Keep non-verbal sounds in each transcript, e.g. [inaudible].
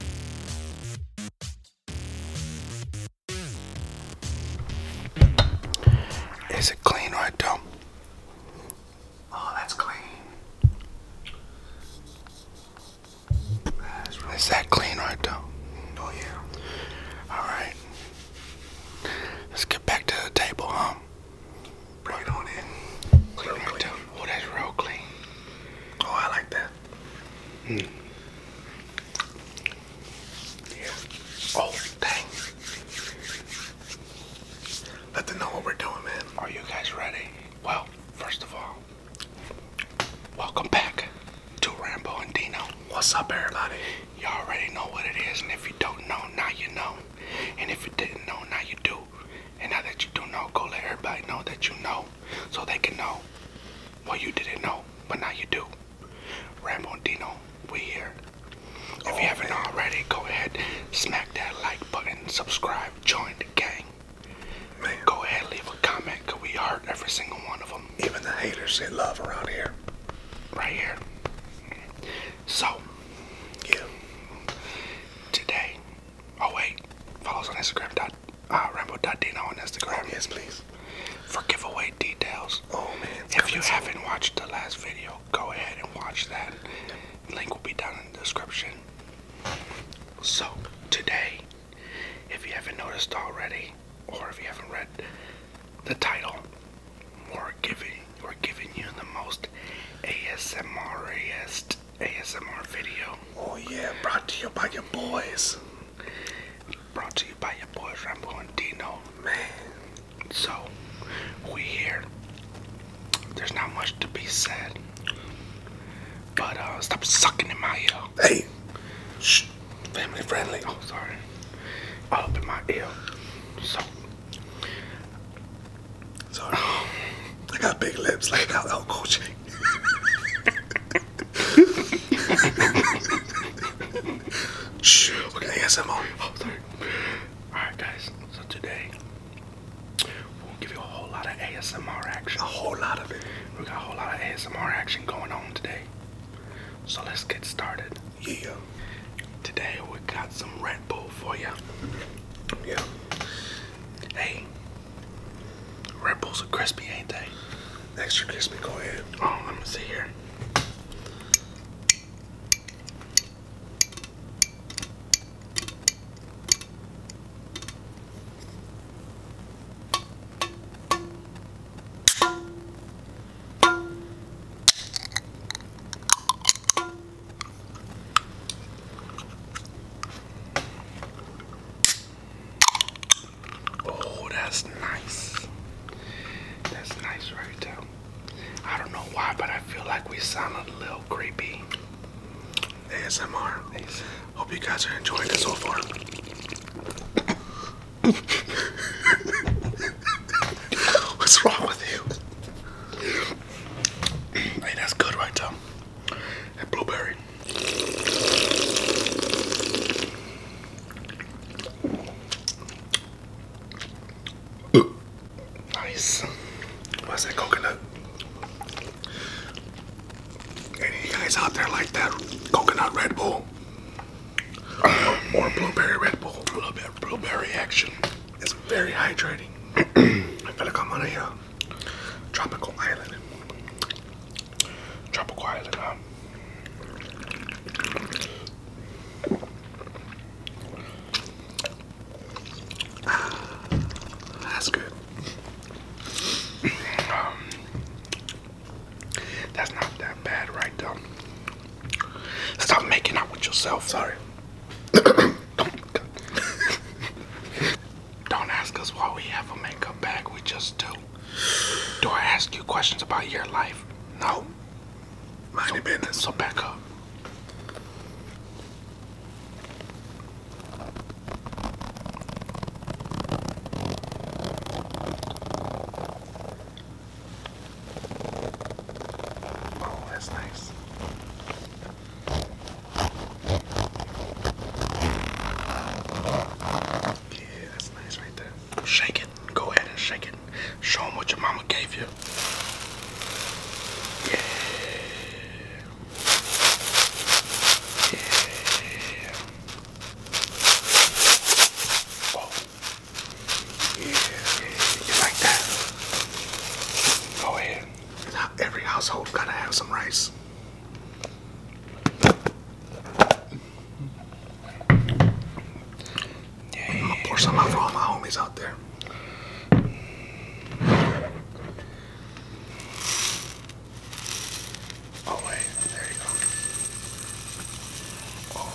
Is it clean right though? Oh, that's clean. That's Is that clean right though? Oh yeah. All right. Let's get back to the table, huh? Bring on in. Clean real right clean. Oh, that's real clean. Oh, I like that. Mm. Oh, dang. Let them know what we're doing, man. Are you guys ready? Well, first of all, welcome back to Rambo and Dino. What's up, everybody? Y'all already know what it is, and if you don't know, now you know. And if you didn't know, now you do. And now that you do know, go let everybody know that you know so they can know what you didn't know, but now you do. Rambo Dino, we here. If you haven't already, go ahead, smack that like button, subscribe, join the gang. Go ahead, leave a comment, cause we hurt every single one of them. Even the haters get love around here. Right here. So, yeah. Today, Oh wait, follow us on Instagram. Dot, uh, Dino on Instagram. yes, please. For giveaway details. Oh man. If you haven't watched the last video, go ahead and watch that. Link will be down in the description. So today, if you haven't noticed already, or if you haven't read the title, we're giving we're giving you the most ASMRist ASMR video. Oh yeah, brought to you by your boys. Brought to you by your boys Rambo and Dino. Man. So we here. There's not much to be said. But uh stop sucking in my ear. Hey. Shh. Family friendly. Oh sorry. All up my ear. So so I got big lips like El, El Coche. Shh, look at ASMR. Oh, sorry. Alright, guys, so today we'll give you a whole lot of ASMR action. A whole lot of it. We got a whole lot of ASMR action going on today. So let's get started. Yeah. Today we got some Red Bull for you. Yeah. Hey, Red Bulls are crispy, ain't they? Extra crispy, go ahead. Oh, let me see here. Oh, that's nice. That's nice right there. I don't know why, but I feel like we sound a little creepy. ASMR. Thanks. Hope you guys are enjoying it so far. [laughs] What's wrong with you? Hey, that's good right there. That blueberry. Nice. What's that coconut? Any guys out there like that coconut Red Bull? Or blueberry Red Bull? blueberry action. It's very hydrating. [clears throat] I feel like I'm on a uh, tropical island. Tropical island, Ah, [sighs] that's good. Um, that's not that bad, right, though. Stop making out with yourself. Sorry. [clears throat] Don't ask us why we have a makeup bag, we just do. Do I ask you questions about your life? No. Mind so, your business. So back up. Oh, that's nice. Yeah, that's nice right there. Shake it. Go ahead and shake it. Show them what your mama gave you. Yeah. Yeah. Whoa. Oh. Yeah, you like that? Go ahead. Every household gotta have some rice. I'm gonna pour some out for all my homies out there. Oh wait, there you go. Oh,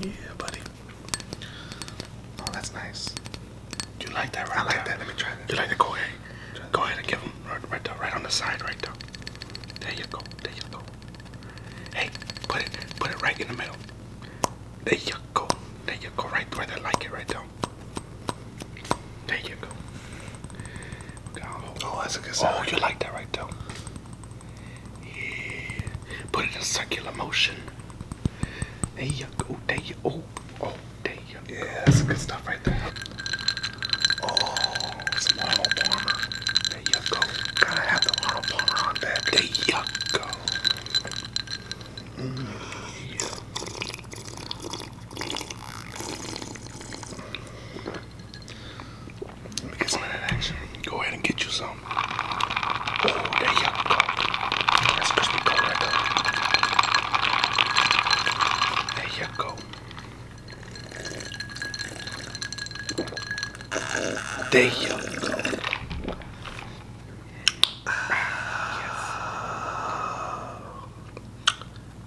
Yeah, buddy. Oh, that's nice. Do you like that I like that. Let me try that. You like the go ahead? Go ahead and give them right, there, right on the side, right there. There you go. There you go. Hey, put it, put it right in the middle. There you go. There you go. Right there, they like it, right there. There you go. oh, that's a good sound. Oh, you like that right there. Yeah. Put it in circular motion. There you go. There you go. Oh, oh, there you go. Yeah, that's some good stuff right there. Oh, some Arnold Palmer. There you go. Gotta have the Arnold Palmer on deck. There you go. Mm. Let me get some of that action. Go ahead and get you some. Oh, there you go. That's there. you go. There you go.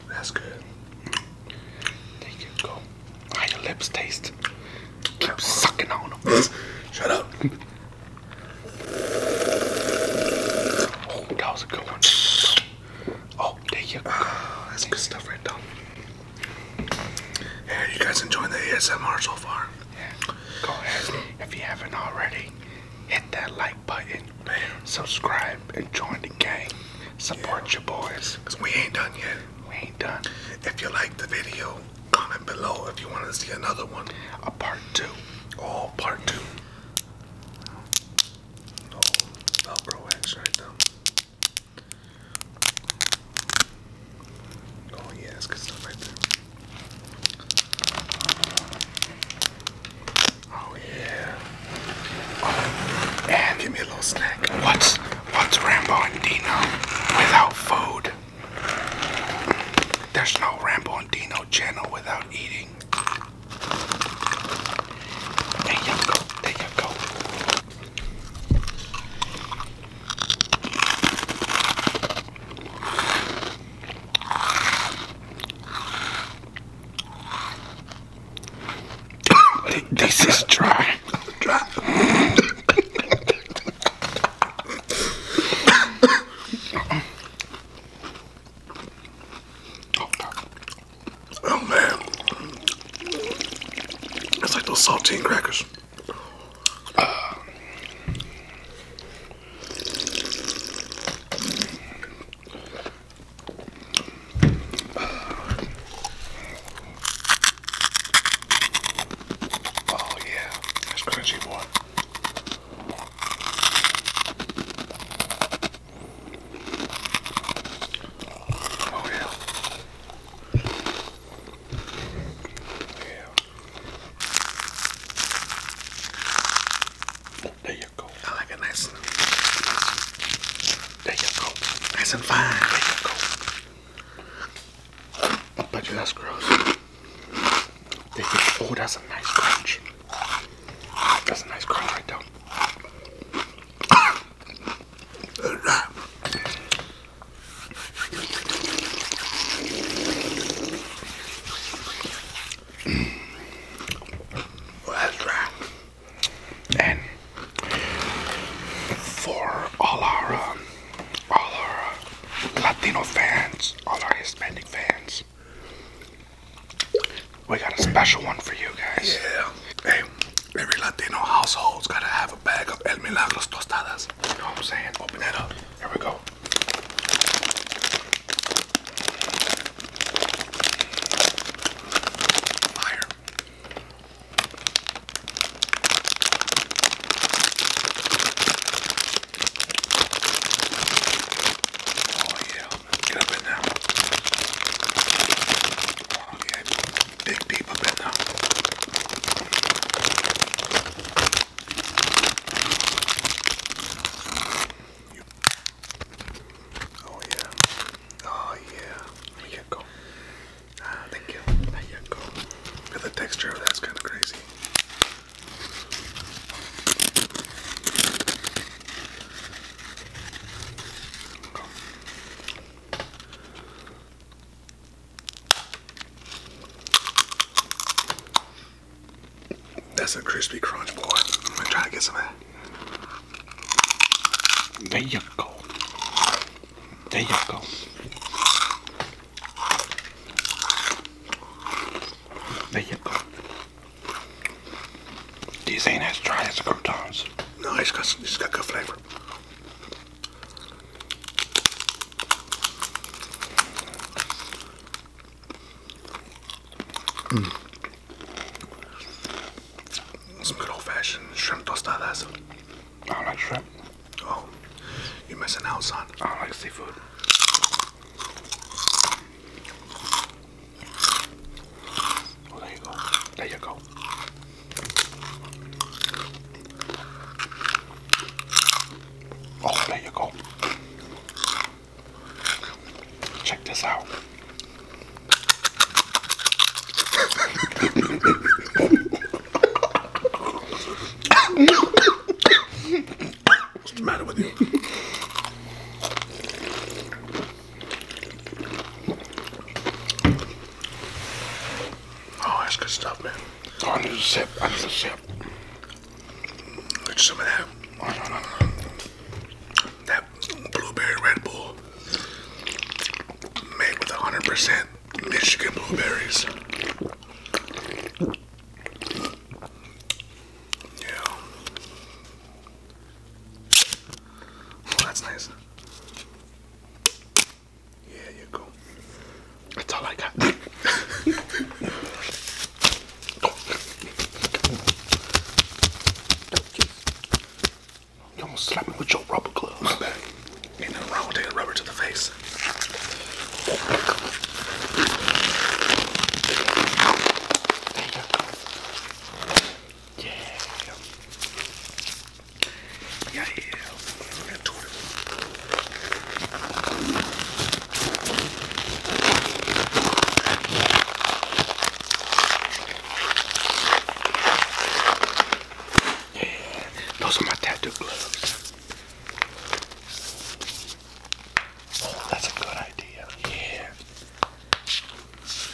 That's good. There you go. How your lips taste? Keep sucking on them. Shut up. Oh, that was a good one. Oh, there you go. that's good stuff right there. Yeah, you guys enjoying the ASMR so far? Yeah. Go ahead. If you haven't already, hit that like button, Man. subscribe, and join the gang. Support yeah. your boys. Because we ain't done yet. We ain't done. If you like the video, comment below if you want to see another one. A part two. all part two. No, no bro right now. Oh yeah, it's good stuff right there. Oh yeah. Oh, give me a little snack. What's what's Rambo and Dino without food? There's no Rambo and Dino channel without eating. There you go. There you go. [coughs] this is dry. dry. [coughs] oh man, it's like those saltine crackers. Oh yeah, that's crunchy boy. Oh yeah. Yeah. There you I like it nice and there you go. Nice and fine. There that's gross. Oh, that's a nice crunch. That's a nice crunch right there. that's dry and for all our uh, all our Latino fans, all our Hispanic fans, we got a special one for you guys. Yeah. Hey, every Latino household's gotta have a bag of El Milagros tostadas. You know what I'm saying? Open that up. Here we go. Fire. Oh yeah, get up in now. Oh yeah, big deep up in now. Oh yeah. Oh yeah. There you go. Ah, thank you. There you go. And the texture that's kind of crazy. That's a crispy crunch, boy. I'm gonna try to get some of that. There you go. There you go. There you go. These ain't as dry as the croutons. No, it's got, it's got good flavor. Mm. Some good old fashioned shrimp tostadas. I do like shrimp. Oh, you're missing out, son. I like seafood. Oh, there you go. There you go. Oh, there you go. Check this out. What's the matter with you? Oh, that's good stuff, man. Oh, I need a sip. I need a sip. Get some of that. That blueberry Red Bull made with 100% Michigan blueberries. Yeah. Oh, that's nice. Yeah, you go. That's all I got. [laughs] Don't you, you almost slap me with your rubber gloves. Ain't nothing wrong with taking rubber to the face. There Yeah. Yeah, yeah. Yeah, those are my tattoo gloves. Oh, that's a good idea. Yeah.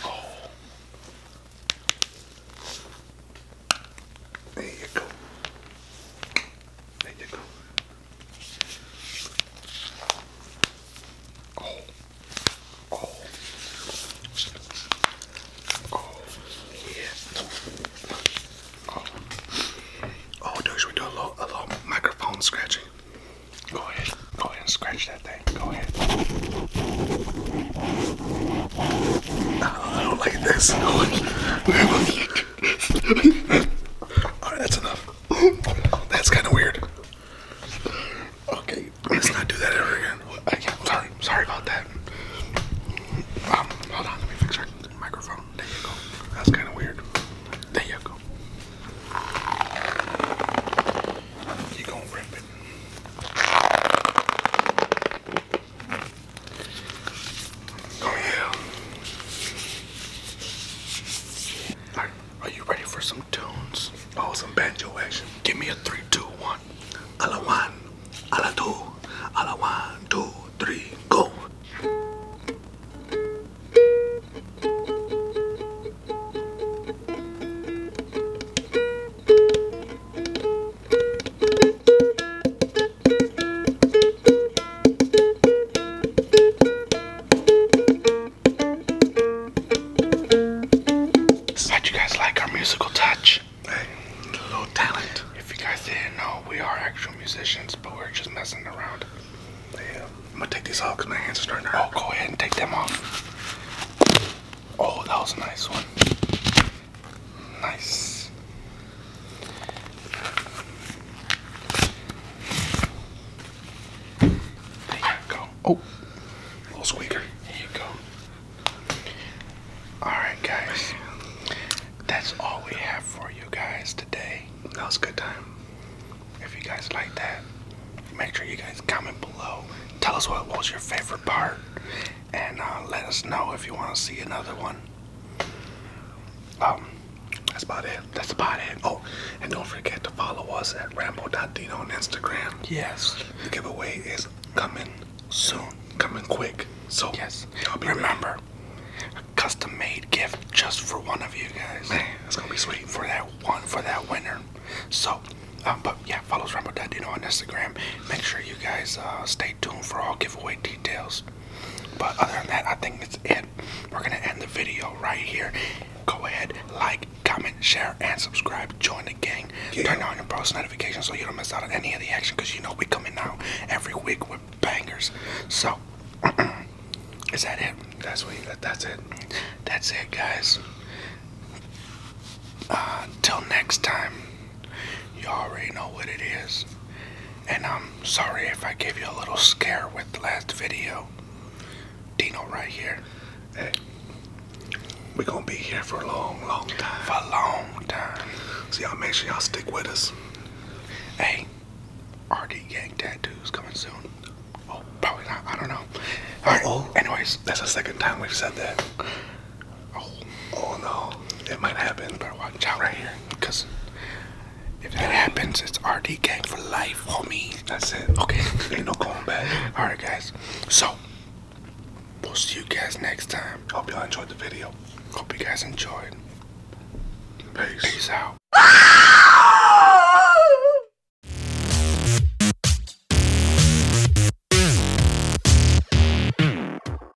Oh. There you go. There you go. Oh. Oh. Oh. Yeah. Oh. Oh, dude, we do a little, a little microphone scratching. Go ahead. Go ahead and scratch that thing. Go ahead. Oh, I don't like this. [laughs] Alright, that's enough. That's kind of weird. Okay, let's not do that ever again. sorry, sorry about that. Um, hold on, let me fix our microphone. There you go. That's kind of weird. There you go. You gonna rip it? Oh yeah. are you ready for some tunes? Oh, some banjo action. Give me a three, two, one. A la one, a la two, a la one, two, three, go. Glad you guys like our musical touch. a little talent. If you guys didn't know, we are actual musicians, but we're just messing around. I'm gonna take these off because my hands are starting to Oh, go ahead and take them off. Oh, that was a nice one. Nice. There you go. Oh, little squeaker. There you go. Alright, guys. That's all we have for you guys today. That was a good time. If you guys like that, make sure you guys comment below. Tell us what was your favorite part. And uh, let us know if you want to see another one. Um, that's about it. That's about it. Oh, and don't forget to follow us at Rambo.Dino on Instagram. Yes. The giveaway is coming soon. Coming quick. So yes. Remember, a custom made gift just for one of you guys. Man, it's gonna be sweet. For that one for that winner. So um, but yeah, follow us Rambo.Dino on Instagram. Make sure you guys uh, stay tuned for all giveaway details. But other than that, I think that's it. We're gonna end the video right here. Go ahead, like, comment, share, and subscribe. Join the gang. Turn on your post notifications so you don't miss out on any of the action because you know we come in now every week with bangers. So [clears throat] is that it? That's what you, that, that's it. That's it guys. until uh, next time. You already know what it is. And I'm sorry if I gave you a little scare with the last video. Dino right here. Hey, we're gonna be here for a long, long time. For a long time. So y'all make sure y'all stick with us. Hey, RD Gang Tattoo's coming soon. Oh, probably not. I don't know. Alright, -oh. anyways. That's the second time we've said that. Oh, oh no, it might happen. You better watch out right here, because if that happens, it's RD game for life, homie. That's it. Okay, [laughs] ain't no going back. All right, guys. So we'll see you guys next time. Hope y'all enjoyed the video. Hope you guys enjoyed. Peace. Peace out.